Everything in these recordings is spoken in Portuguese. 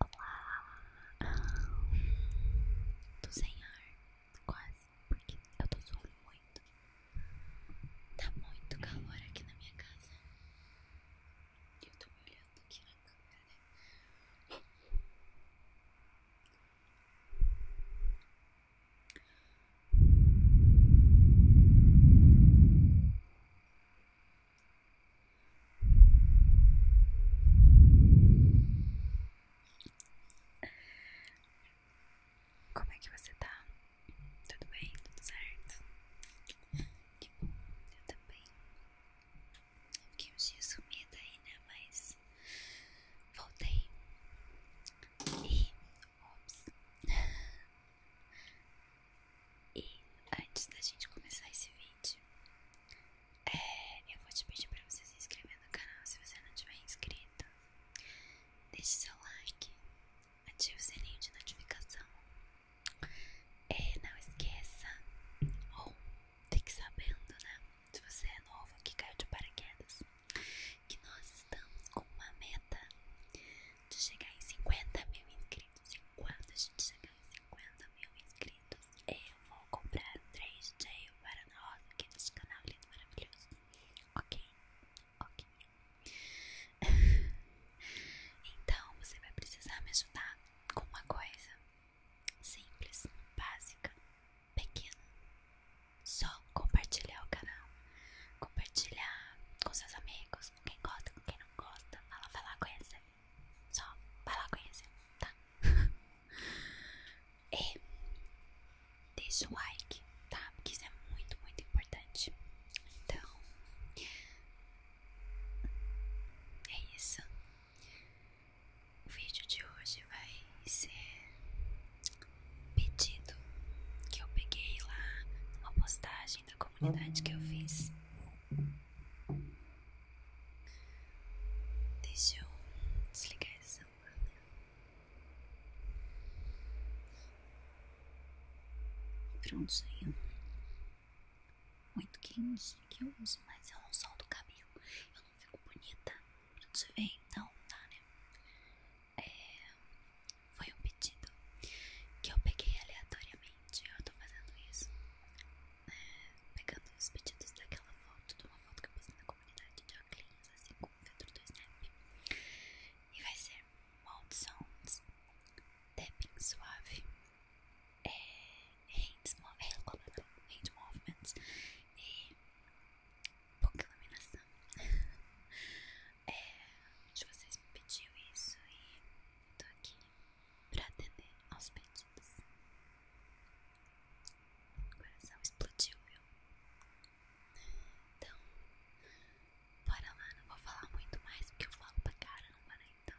Olá! Tô sem ar, quase, porque eu tô suando muito. Tá muito calor aqui na minha casa. e Eu tô me olhando aqui na câmera, né? Como é que você tá? Tudo bem? Tudo certo? Que bom, eu também. Fiquei uns dias sumida aí, né? Mas voltei. E. Ops. E antes da gente começar esse vídeo, eu vou te pedir para você se inscrever no canal se você não tiver inscrito. Deixe seu like, ative o sininho de notificação. É, não esqueça, ou fique sabendo, né? Se você é novo que caiu de paraquedas, que nós estamos com uma meta de chegar em 50 mil inscritos. e quando a gente chegar em 50 mil inscritos. É, eu vou comprar um 3J para nós roda aqui nesse canal é lindo, maravilhoso. Ok, ok. então você vai precisar me ajudar com uma coisa simples, básica, pequena. Só compartilhar o canal, compartilhar com seus amigos, com quem gosta, com quem não gosta. Fala, vai lá, conhece. Só vai lá conhecer, tá? e é, deixa o like, tá? Porque isso é muito, muito importante. Então, é isso. O vídeo de hoje vai ser pedido que eu peguei lá numa postagem da comunidade que eu fiz. Deixa eu desligar essa lâmpada. Né? Pronto, saiu. Muito quente que eu uso, mas eu não solto o cabelo. Eu não fico bonita. se vê? Então, tá, né? É, foi um pedido que eu peguei aleatoriamente. Eu tô fazendo isso. Né? pegando os pedidos daquela foto de uma foto que eu fiz na comunidade de óculos, assim, com o filtro do Snap. E vai ser Mouth Sounds, Tapping Suave, é, hands, hand, é, é hand Movements e pouca iluminação. é, acho vocês me pediram isso e eu tô aqui pra atender aos pedidos coração explodiu, viu? Então, bora lá, não vou falar muito mais porque eu falo pra caramba, né? Então.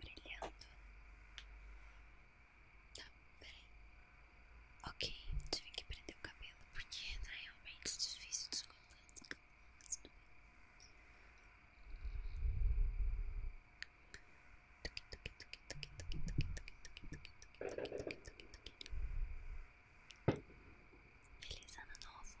brilhando. Tá, peraí. Ok, tive que prender o cabelo porque né, é realmente difícil descolar. Feliz ano novo!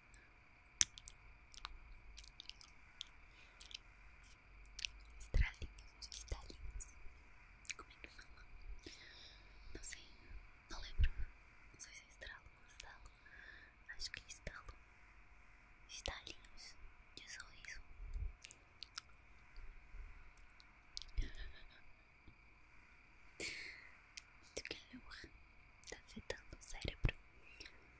Estralinhos, estalinhos. Como é que fala? Não sei, não lembro. Não sei se é estralo ou estalo. Acho que é estalo. Estalinhos de sorriso. De calor, tá afetando o cérebro.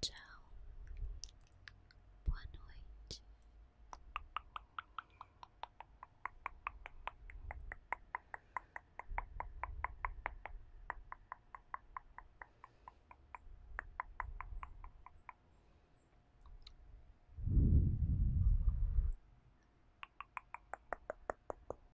Tchau. Boa noite.